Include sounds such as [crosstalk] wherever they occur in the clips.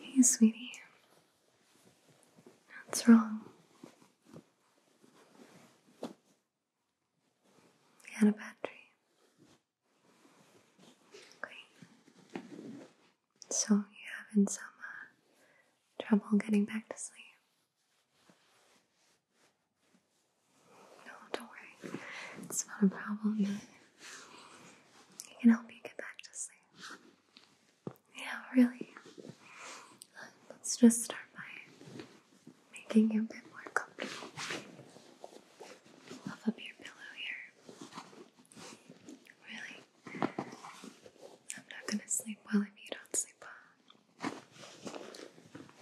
Hey, sweetie. What's wrong? You had a bad dream. Okay. So you're having some trouble getting back to sleep. No, don't worry. It's not a problem. It can help you get back to sleep. Yeah, really. Let's just start by making you a bit more comfortable. Fluff up your pillow here. Really. I'm not gonna sleep well if you don't sleep well.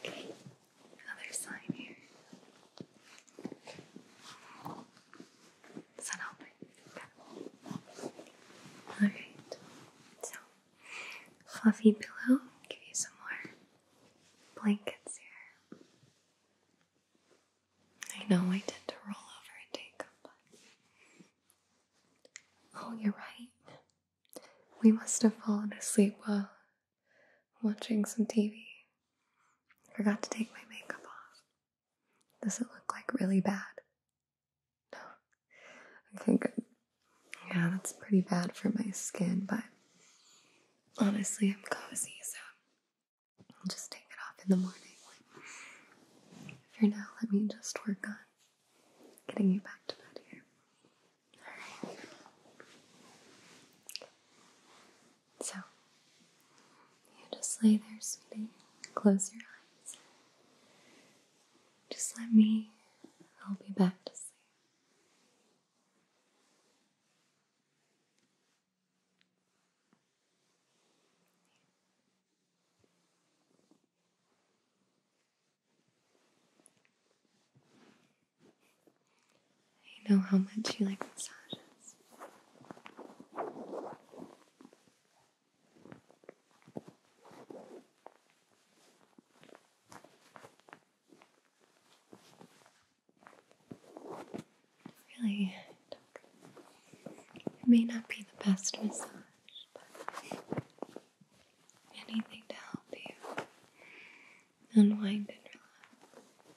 Okay, another sign here. San Alright. So, fluffy pillow. Give you some more blankets here. I know I tend to roll over and take them, but. Oh, you're right. We must have fallen asleep while watching some TV. Forgot to take my makeup off. Does it look like really bad? No. Okay, good. Yeah, that's pretty bad for my skin, but honestly, I'm cozy, so I'll just take it off in the morning. For now, let me just work on getting you back to bed here. Alright. So, you just lay there, sweetie. Close your eyes. Just let me, I'll be back to sleep. I know how much you like massages. Really, it may not be the best massage, but anything to help you unwind and relax.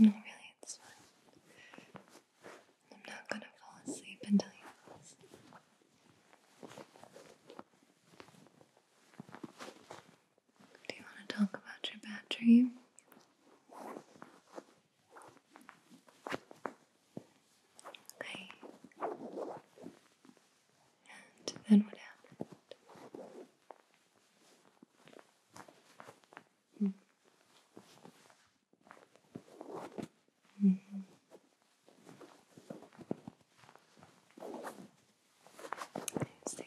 No, mm, really, it's fine. I'm not gonna fall asleep until you fall asleep. Do you want to talk about your bad dream? Okay. And then what happened? Mm. -hmm. I hmm. see.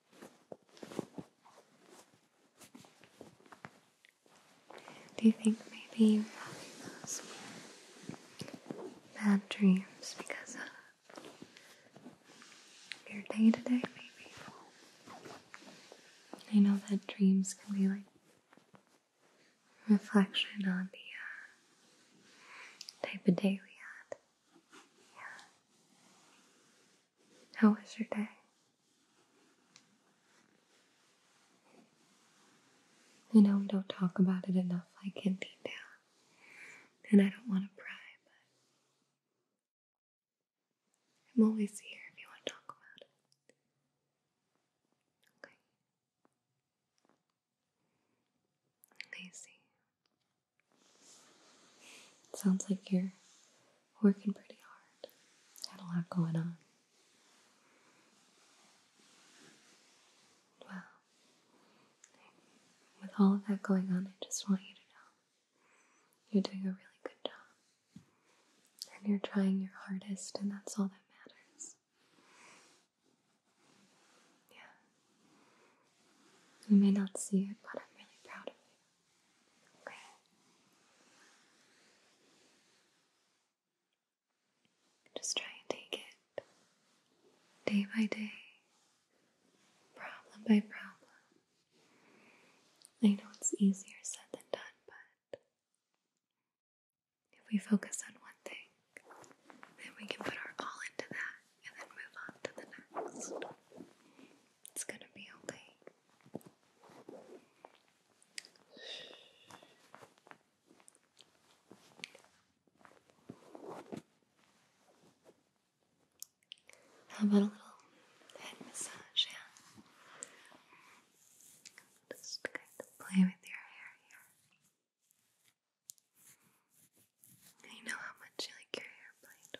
Do you think maybe you're having those bad dreams because of your day to day, maybe? I know that dreams can be like reflection on the uh, type of day we had. Yeah. How was your day? I know we don't talk about it enough, like in detail, and I don't want to pry, but I'm always here if you want to talk about it. Okay. I Sounds like you're working pretty hard. Had a lot going on. Well, with all of that going on, I just want you to know you're doing a really good job. And you're trying your hardest, and that's all that matters. Yeah. You may not see it, but I'm really proud of you. Just try and take it day by day, problem by problem. I know it's easier said than done, but if we focus on one thing, then we can put our all into that and then move on to the next. It's gonna be okay. How about a little head massage? Yeah. Just kind of play with your hair here. I know how much you like your hair played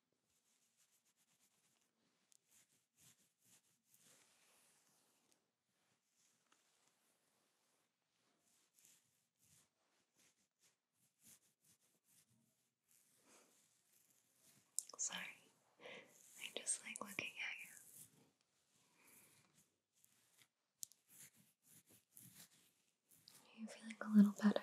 Sorry, I just like looking at you. Are you feeling a little better?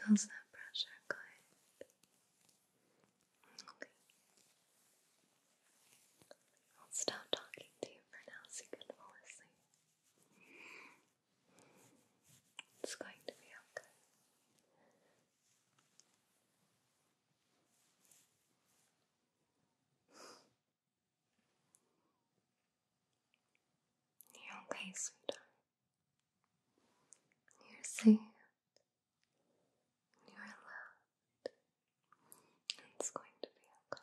How's that pressure? Good. Okay. I'll stop talking to you for now so it's going to be okay. You're okay, sweetheart. You're safe. You're loved. It's going to be okay.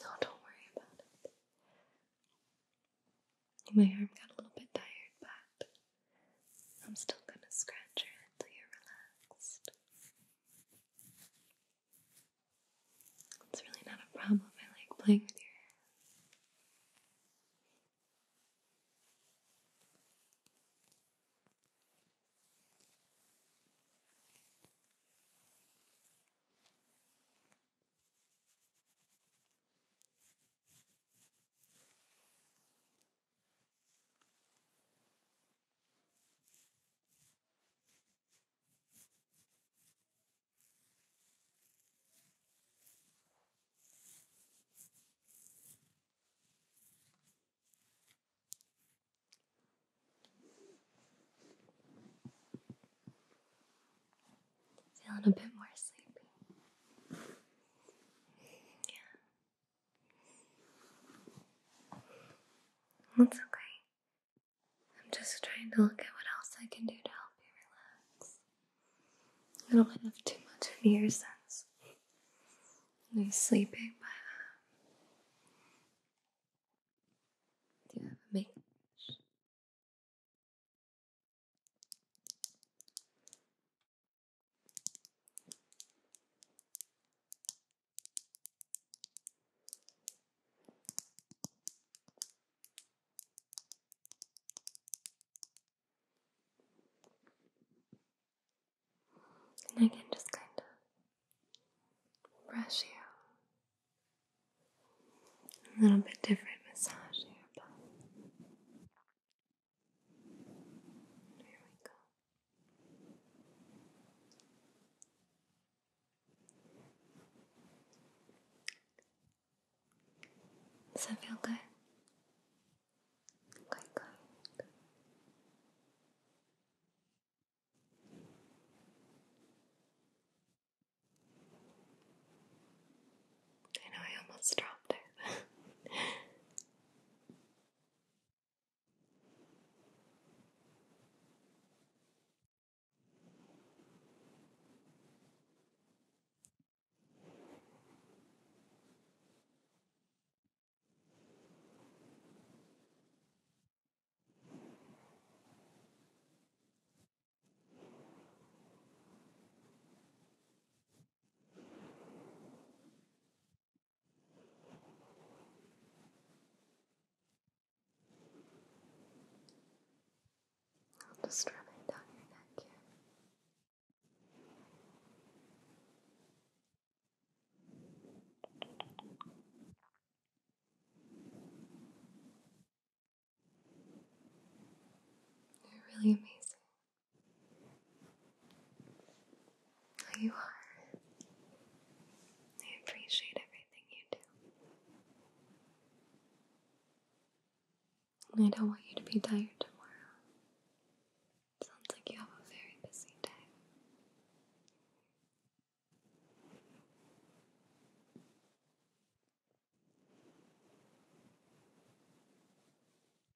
No, don't worry about it. My arm got a little bit tired, but I'm still gonna scratch it until you're relaxed. It's really not a problem. I like playing with your hands. Feeling a bit more sleepy. That's okay. I'm just trying to look at what else I can do to help you relax. I don't have too much of since sense. Are sleeping by um, Do you have a make? I can just kind of brush you a little bit different massage your body. There Does that feel good? Quite good. I know I almost dropped it. I'll just rub down your neck You're really amazing. Oh, you are. I appreciate everything you do. I don't want you to be tired tomorrow. Sounds like you have a very busy day.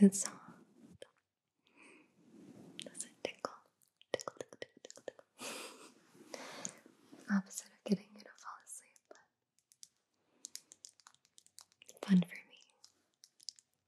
And it soft? Does it tickle? Tickle, tickle, tickle, tickle, tickle. [laughs] Opposite of getting you to fall asleep, but fun for me.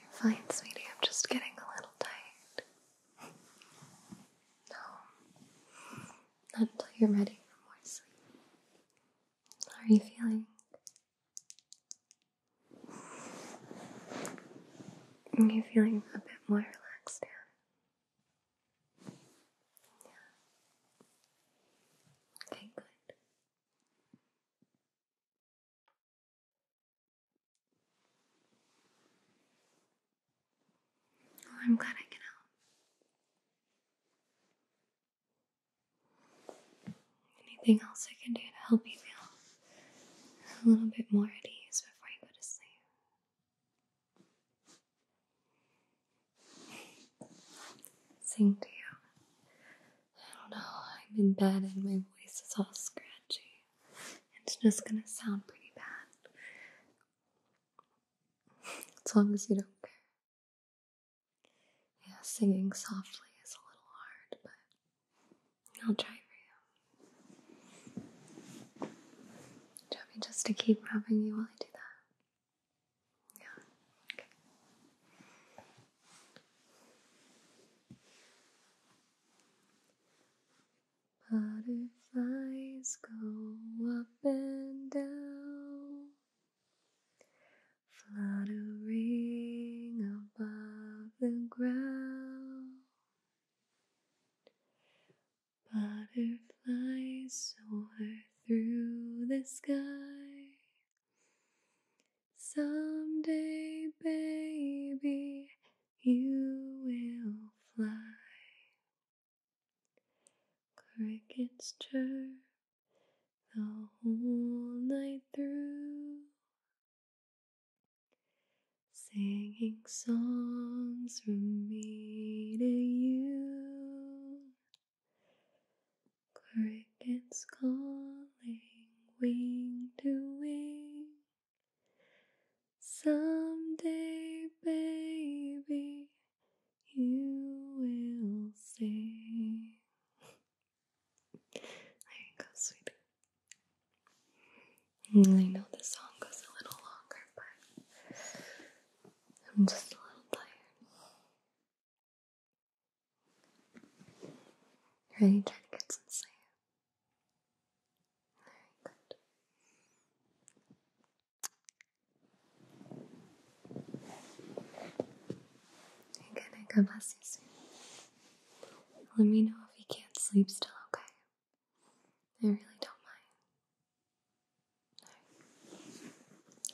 You're fine, sweetie. I'm just getting a little tired. No. Not until you're ready for more sleep. How are you feeling? Are you feeling a bit more relaxed now? Yeah. Okay, good. Oh, I'm glad I can help. Anything else I can do to help you feel a little bit more at ease before you go to sleep? Sing to you. I don't know, I'm in bed and my voice is all scratchy. It's just gonna sound pretty bad. As long as you don't care. Yeah, singing softly is a little hard, but I'll try for you. Do just to keep rubbing you while I do that? Yeah. Okay. Butterflies go up and down, fluttering above the ground. Butterflies soar through the sky. Someday, baby, you will fly. Crickets chirp the whole night through, singing songs for me to you. Crickets calling wing to wing. Someday, baby, you will see. there go, sweetie. I know the song goes a little longer, but I'm just a little tired. Ready to get some sleep? Very good. Again, God bless you Let me know if you can't sleep still, okay? I really don't mind.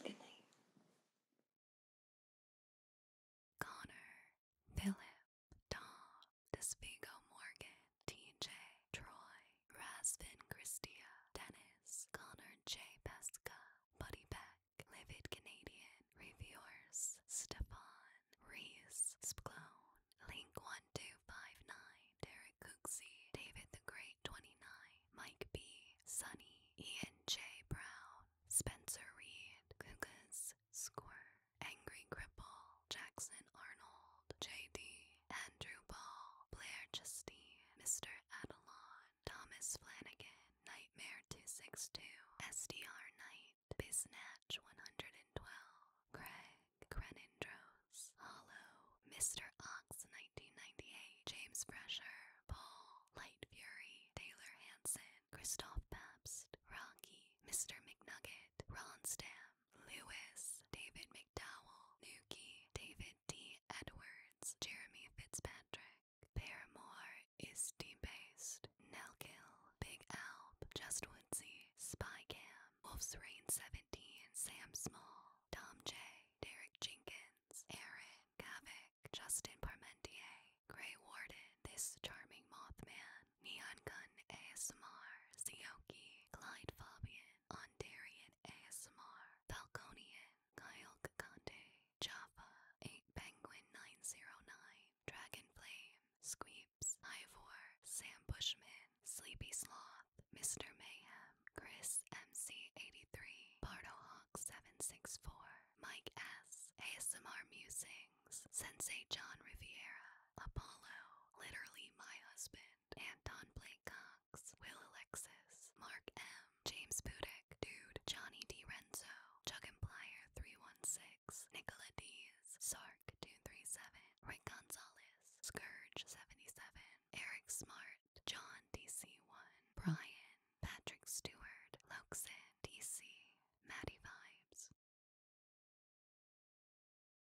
Good night. Connor, Philip, Tom, Despigo Morgan, TJ, Troy, Rasvin Christia, Dennis, Connor J. Pesca, Buddy Beck, Livid Canadian, Reviewers, Stefan, Reese, Spclone, Link1259, Derek Cooksey, David the Great 29, Mike B, Sunny, Ian J. Brown, Spencer Reed, Kukas, Squirr, Angry Cripple, Jackson Arnold, J.D. Andrew Ball, Blair Justine, Mr. Adelon, Thomas Flanagan, Nightmare 262, SDR Knight, Biznatch 112, Craig, Crenindros, Hollow, Mr. Ox 1998, James Fresher, Paul, Light Fury, Taylor Hanson, Christoph Pabst, Rocky, Mr. McNugget, Ron Stamp, Lewis, David McDowell, Nuki, David D. Edwards, Jeremy Fitzpatrick. Paramore is debased. Nelkill, Big Alp, Just Spycam, Wolf's Rain 17, Sam Small, Tom J, Derek Jenkins, Aaron, Kavik, Justin Parmentier, Grey Warden, This Charming Mothman, Neon Gun ASMR, Sioki, Clyde Fabian, Ondarian ASMR, Falconian, Kyogre Java, 8 Penguin 909, Dragon Flame, Squeeps, Ivor, Sam Bushman, Sleepy Sloth, Mr. Mayhem, Chris MC83, Hawk 764 Mike S, ASMR Musings, Sensei John Riviera, Apollo, literally my husband, Anton Blake Cox, Will Alexis, Mark M, James Budick, Dude, Johnny D. Renzo, Chuck Chuggimplier 316, Nicola Dees, Sark 237, Ray Gonzalez, Scourge 77, Eric Smart, John DC1, Brian, Patrick Stewart, Loxin, DC, Maddie Vibes.